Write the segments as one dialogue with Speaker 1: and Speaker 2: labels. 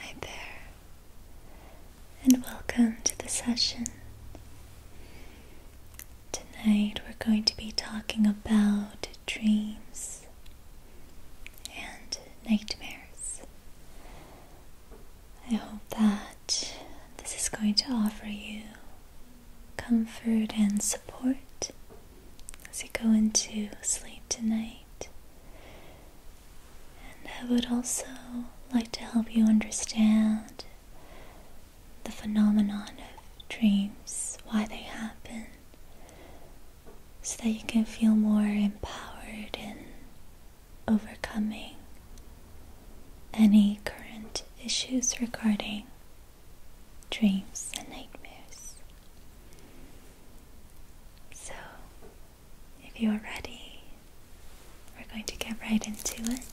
Speaker 1: Hi there, and welcome to the session. Tonight we're going to be talking about dreams and nightmares. I hope that this is going to offer you comfort and support as you go into sleep tonight. And I would also like to help you understand the phenomenon of dreams, why they happen, so that you can feel more empowered in overcoming any current issues regarding dreams and nightmares. So, if you are ready, we're going to get right into it.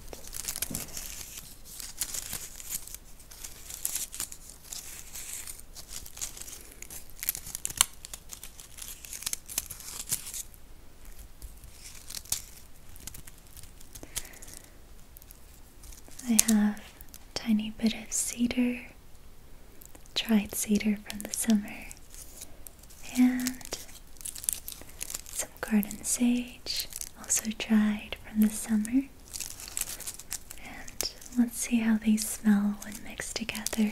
Speaker 1: I have a tiny bit of cedar dried cedar from the summer, and some garden sage, also dried from the summer. And let's see how they smell when mixed together.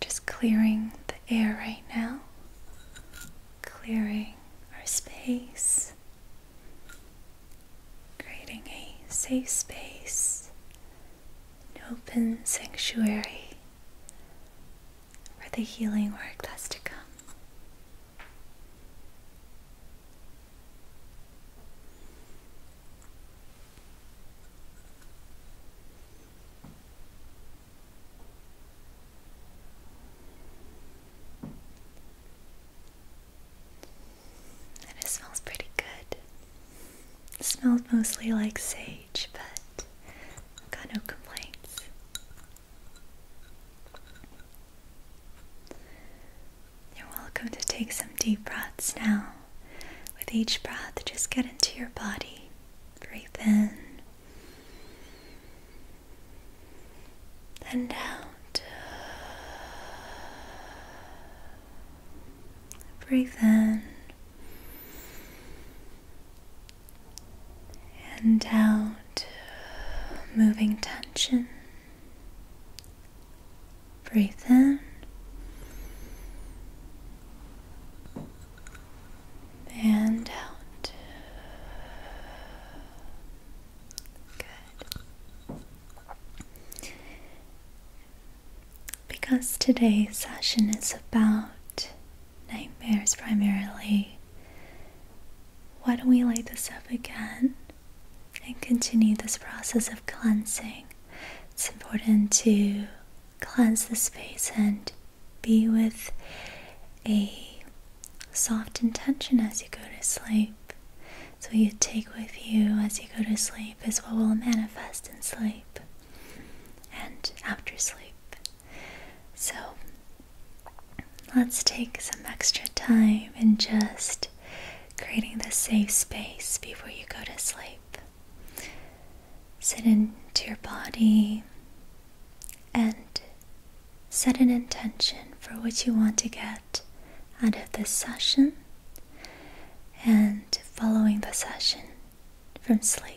Speaker 1: Just clearing the air right now, clearing our space, creating a safe space, an open sanctuary for the healing work that's to come it smells pretty good. smells mostly like sage, but got no complaints. You're welcome to take some deep breaths now. With each breath, just get into your body. Breathe in and out. Breathe in and out, moving tension Breathe in and out. Good. Because today's session is about nightmares primarily, why don't we light this up again? and continue this process of cleansing. It's important to cleanse the space and be with a soft intention as you go to sleep. So, you take with you as you go to sleep is what will manifest in sleep and after sleep. So, let's take some extra time and just creating the safe space before you go to sleep. Sit into your body and set an intention for what you want to get out of this session and following the session from sleep.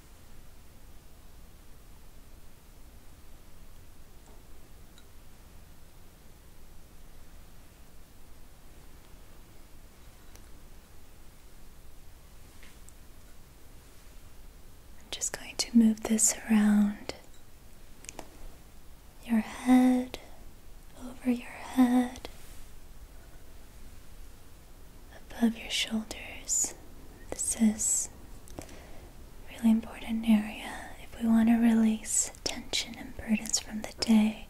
Speaker 1: I'm just going to move this around your head, over your head, above your shoulders. This is really important area if we want to release tension and burdens from the day.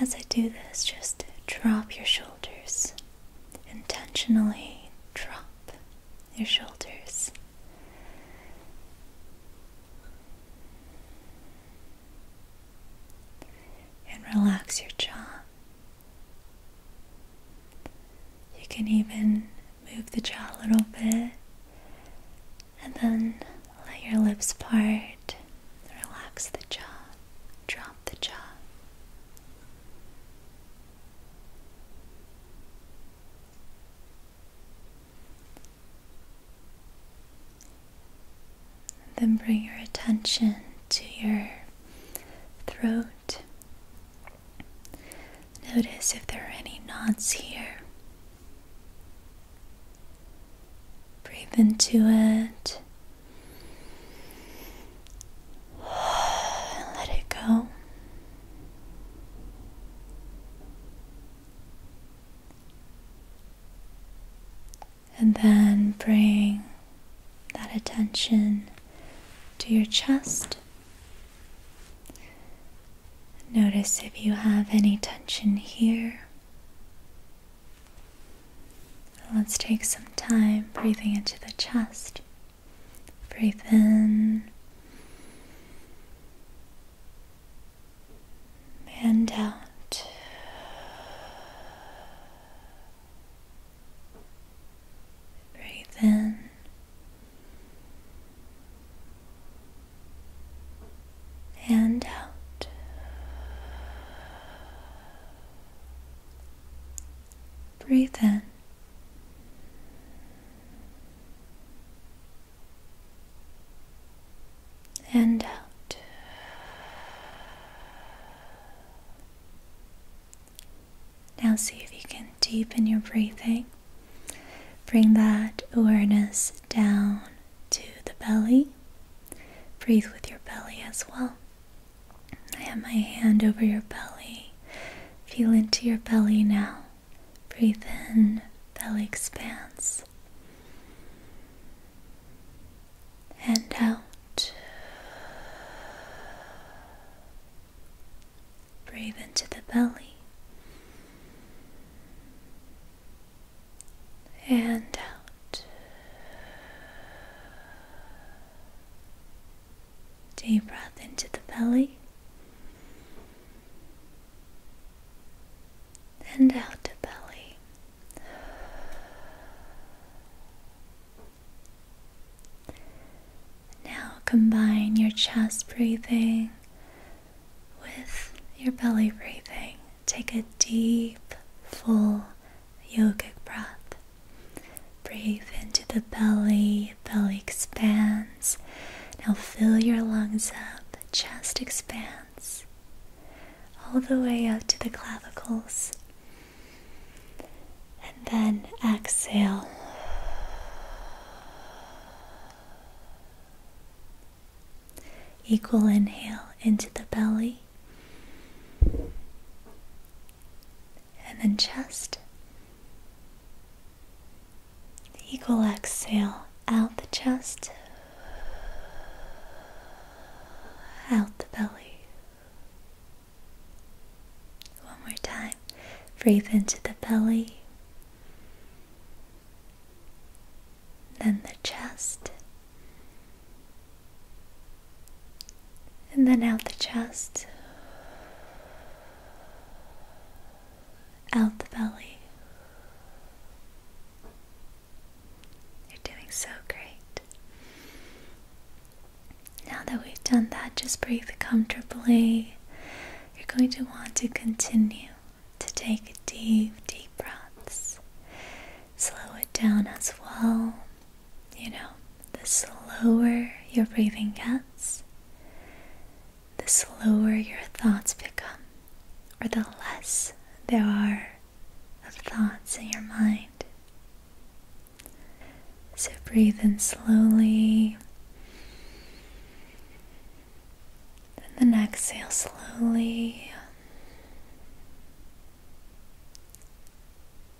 Speaker 1: As I do this, just drop your shoulders. Intentionally drop your shoulders. And relax your jaw. You can even move the jaw a little bit and then let your lips part, relax the jaw, drop the jaw. Then bring your attention to your throat. Notice if there are any knots here. Breathe into it. Let it go. And then bring that attention to your chest. Notice if you have any tension here. Let's take some time breathing into the chest. Breathe in and out. Breathe in and out. Breathe in. And out. Now, see if you can deepen your breathing. Bring that awareness down to the belly. Breathe with your belly as well. I have my hand over your belly. Feel into your belly now. Breathe in, belly expands and out. Breathe into the belly and out. Deep breath into the belly and out the belly. Now combine your chest breathing with your belly breathing. Take a deep, full yogic breath. Breathe into the belly, belly expands. Now fill your lungs up, chest expands all the way up to the clavicles. And then exhale. Equal inhale into the belly and then chest. Equal exhale out the chest, out the belly. One more time. Breathe into the belly, then the chest, and then out the chest, out the belly. You're doing so great. Now that we've done that, just breathe comfortably. You're going to want to continue to take deep, deep breaths. Slow it down as well. You know, the slower your breathing gets, the slower your thoughts become, or the less there are of thoughts in your mind. So breathe in slowly. And then exhale slowly.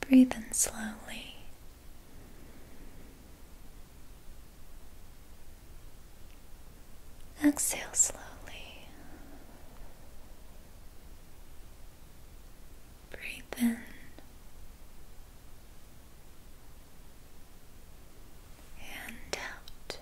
Speaker 1: Breathe in slowly. Exhale slowly. Breathe in and out.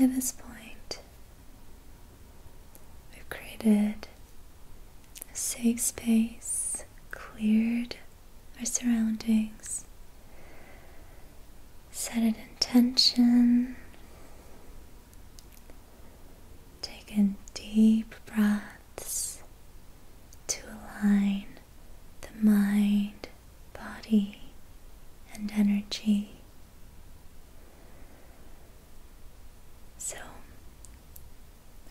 Speaker 1: By this point, we've created a safe space cleared our surroundings. Set an intention. Take in deep breaths to align the mind, body, and energy. So,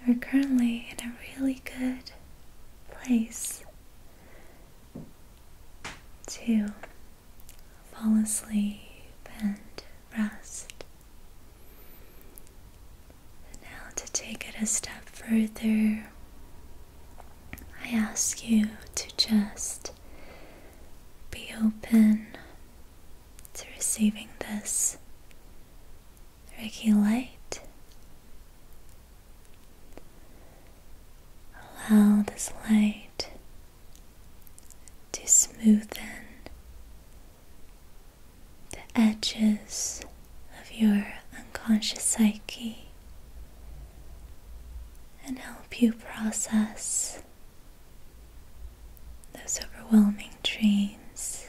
Speaker 1: we're currently in a really good place to fall asleep and rest. now, to take it a step further, I ask you to just be open to receiving this regulate. Allow this light to smoothen the edges of your unconscious psyche and help you process those overwhelming dreams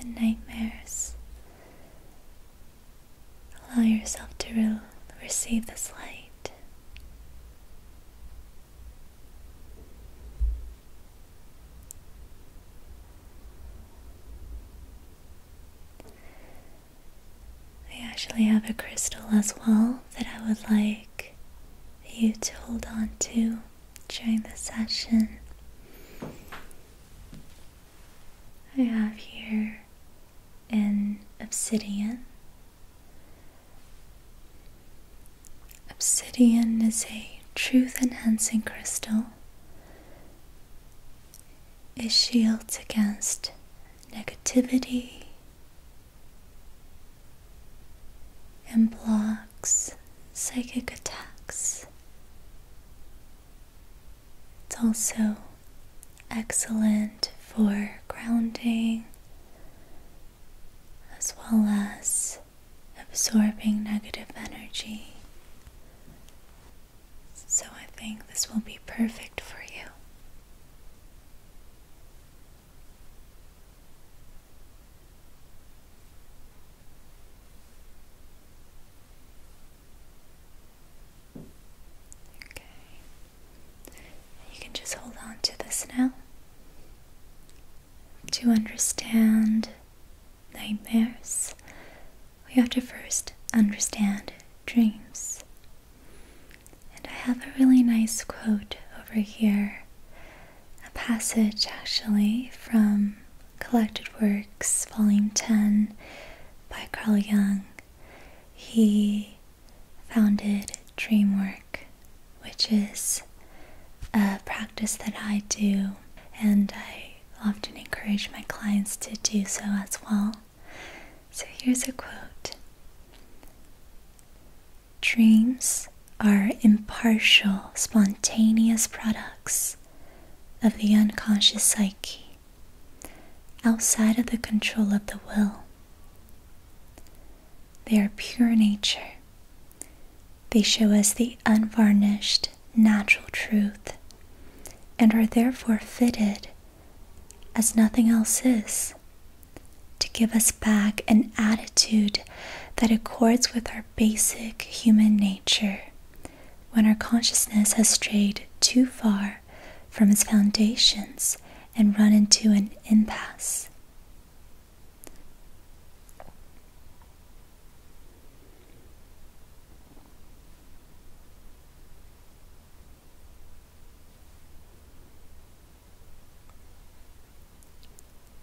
Speaker 1: and nightmares Allow yourself to receive this light. I actually have a crystal as well that I would like you to hold on to during the session. I have here an obsidian. Obsidian is a truth enhancing crystal. It shields against negativity and blocks psychic attacks. It's also excellent for grounding as well as absorbing negative energy. So I think this will be perfect for you. Okay. You can just hold on to this now to understand nightmares. We have to first understand dreams. And I have a really nice quote over here, a passage actually from Collected Works, Volume 10, by Carl Jung, he founded Dreamwork, which is a practice that I do, and I often encourage my clients to do so as well. So here's a quote Dreams are impartial, spontaneous products of the unconscious psyche outside of the control of the will. They are pure nature. They show us the unvarnished, natural truth and are therefore fitted, as nothing else is, to give us back an attitude that accords with our basic human nature. When our consciousness has strayed too far from its foundations and run into an impasse.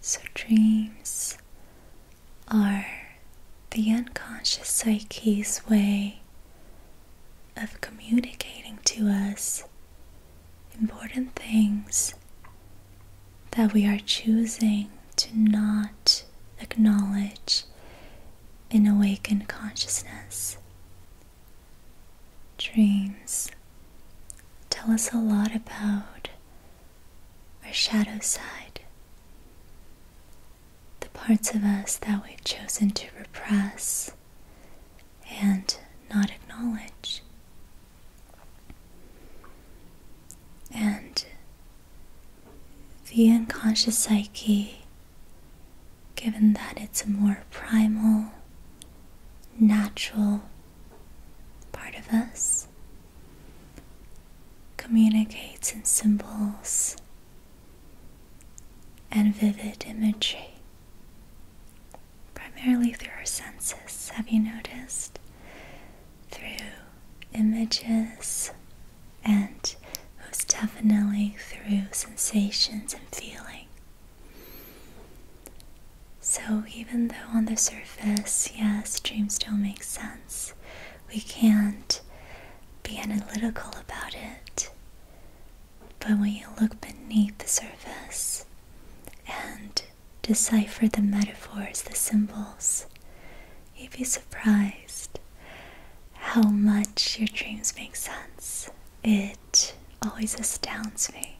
Speaker 1: So, dreams are the unconscious psyche's way of communicating to us important things that we are choosing to not acknowledge in awakened consciousness. Dreams tell us a lot about our shadow side, the parts of us that we've chosen to repress and not acknowledge. And the unconscious psyche, given that it's a more primal, natural part of us, communicates in symbols and vivid imagery, primarily through our senses. Have you noticed? Through images, and most definitely through sensations and feeling. So, even though on the surface, yes, dreams don't make sense, we can't be analytical about it. But when you look beneath the surface and decipher the metaphors, the symbols, you'd be surprised how much your dreams make sense. It always astounds me.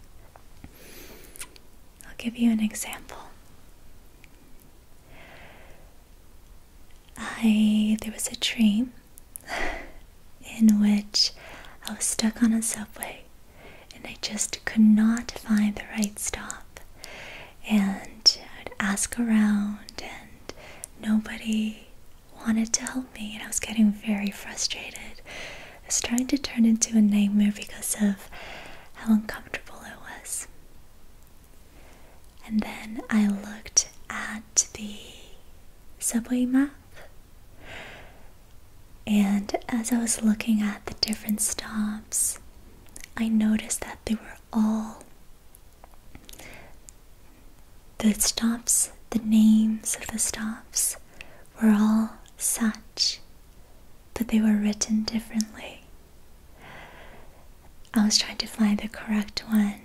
Speaker 1: I'll give you an example. I there was a dream in which I was stuck on a subway and I just could not find the right stop. And I'd ask around and nobody wanted to help me and I was getting very frustrated. I was starting to turn into a nightmare because of how uncomfortable it was. And then I looked at the subway map. And as I was looking at the different stops, I noticed that they were all the stops, the names of the stops were all such, but they were written differently. I was trying to find the correct one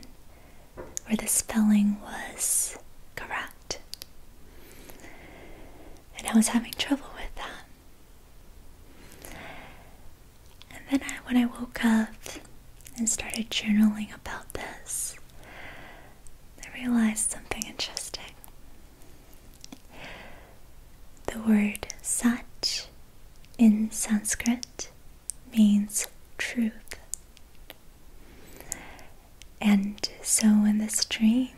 Speaker 1: where the spelling was correct. And I was having trouble with that. And then when I woke up and started journaling about this, I realized something interesting. The word "such" in Sanskrit means truth. And so in this dream,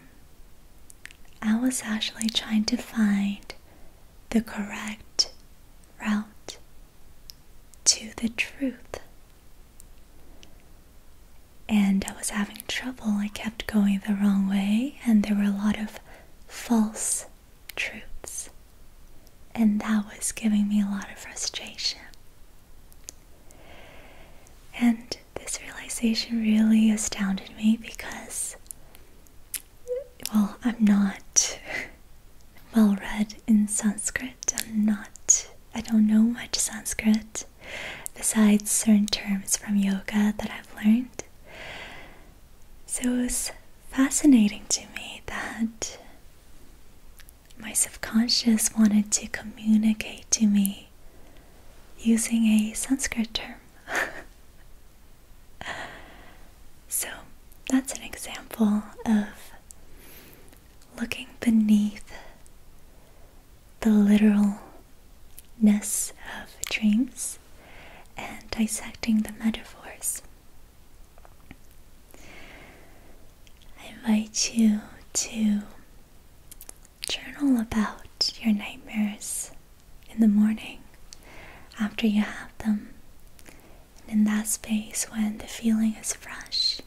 Speaker 1: I was actually trying to find the correct route to the truth. And I was having trouble. I kept going the wrong way, and there were a lot of false truths. And that was giving me a lot of frustration. And this realization really astounded me because, well, I'm not well read in Sanskrit. I'm not, I don't know much Sanskrit besides certain terms from yoga that I've learned. So it was fascinating to me that my subconscious wanted to communicate to me using a Sanskrit term. so that's an example of looking beneath the literalness of dreams and dissecting the metaphors. I invite you to journal about your nightmares in the morning after you have them. And in that space, when the feeling is fresh,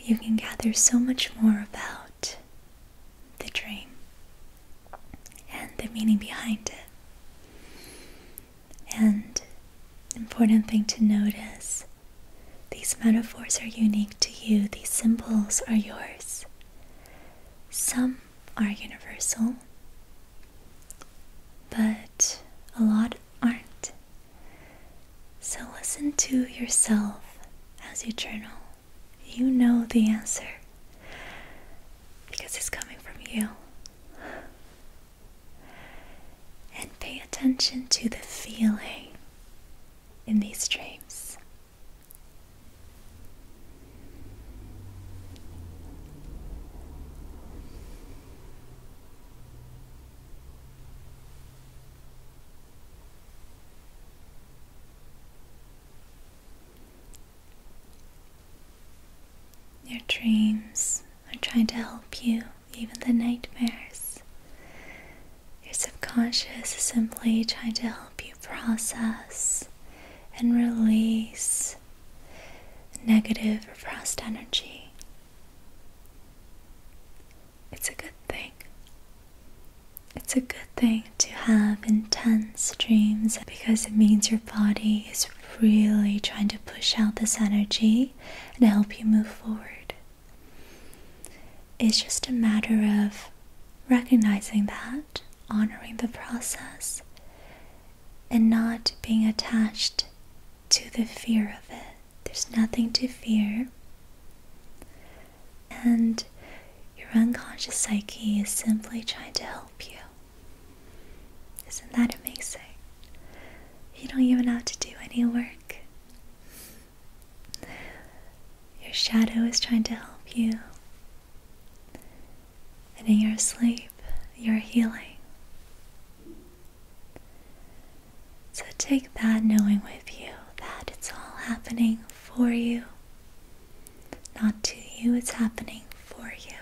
Speaker 1: you can gather so much more about the dream and the meaning behind it. And important thing to notice these metaphors are unique to you, these symbols are yours. Some are universal, but a lot aren't. So listen to yourself as you journal. You know the answer because it's coming from you. And pay attention to the feeling in these dreams. Your dreams are trying to help you, even the nightmares. Your subconscious is simply trying to help you process and release negative repressed energy. It's a good thing. It's a good thing to have intense dreams because it means your body is really trying to push out this energy and help you move forward. It's just a matter of recognizing that, honoring the process, and not being attached to the fear of it. There's nothing to fear. And your unconscious psyche is simply trying to help you. Isn't that amazing? You don't even have to do any work. Your shadow is trying to help you. And in your sleep, you're healing. So take that knowing with you that it's all happening for you. Not to you, it's happening for you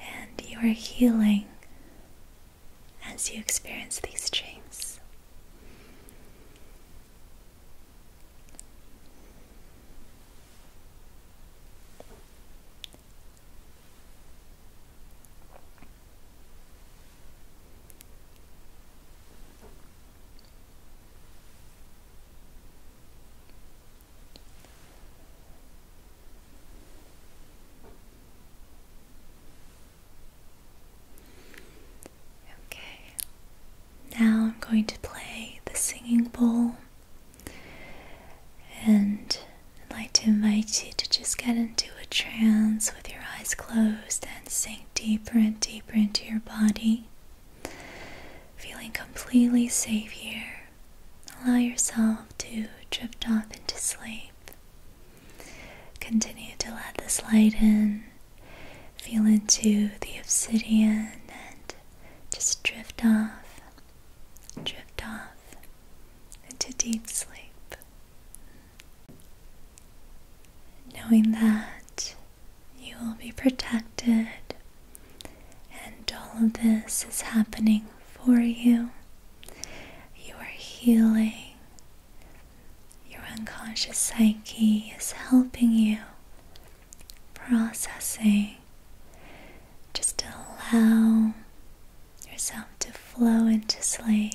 Speaker 1: and you are healing as you experience these dreams. Okay, now I'm going to play the singing bowl, and I'd like to invite you to just get into a trance with your eyes closed and sink deeper and deeper into your body. Feeling completely safe here, allow yourself to drift off into sleep. Continue to let this light in, feel into the obsidian, and just drift off, drift off into deep sleep. Knowing that you will be protected, and all of this is happening for you. You are healing. Your unconscious psyche is helping you, processing. Just allow yourself to flow into sleep.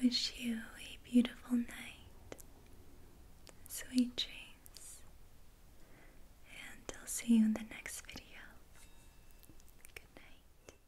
Speaker 1: I wish you a beautiful night, sweet dreams, and I'll see you in the next video. Good night.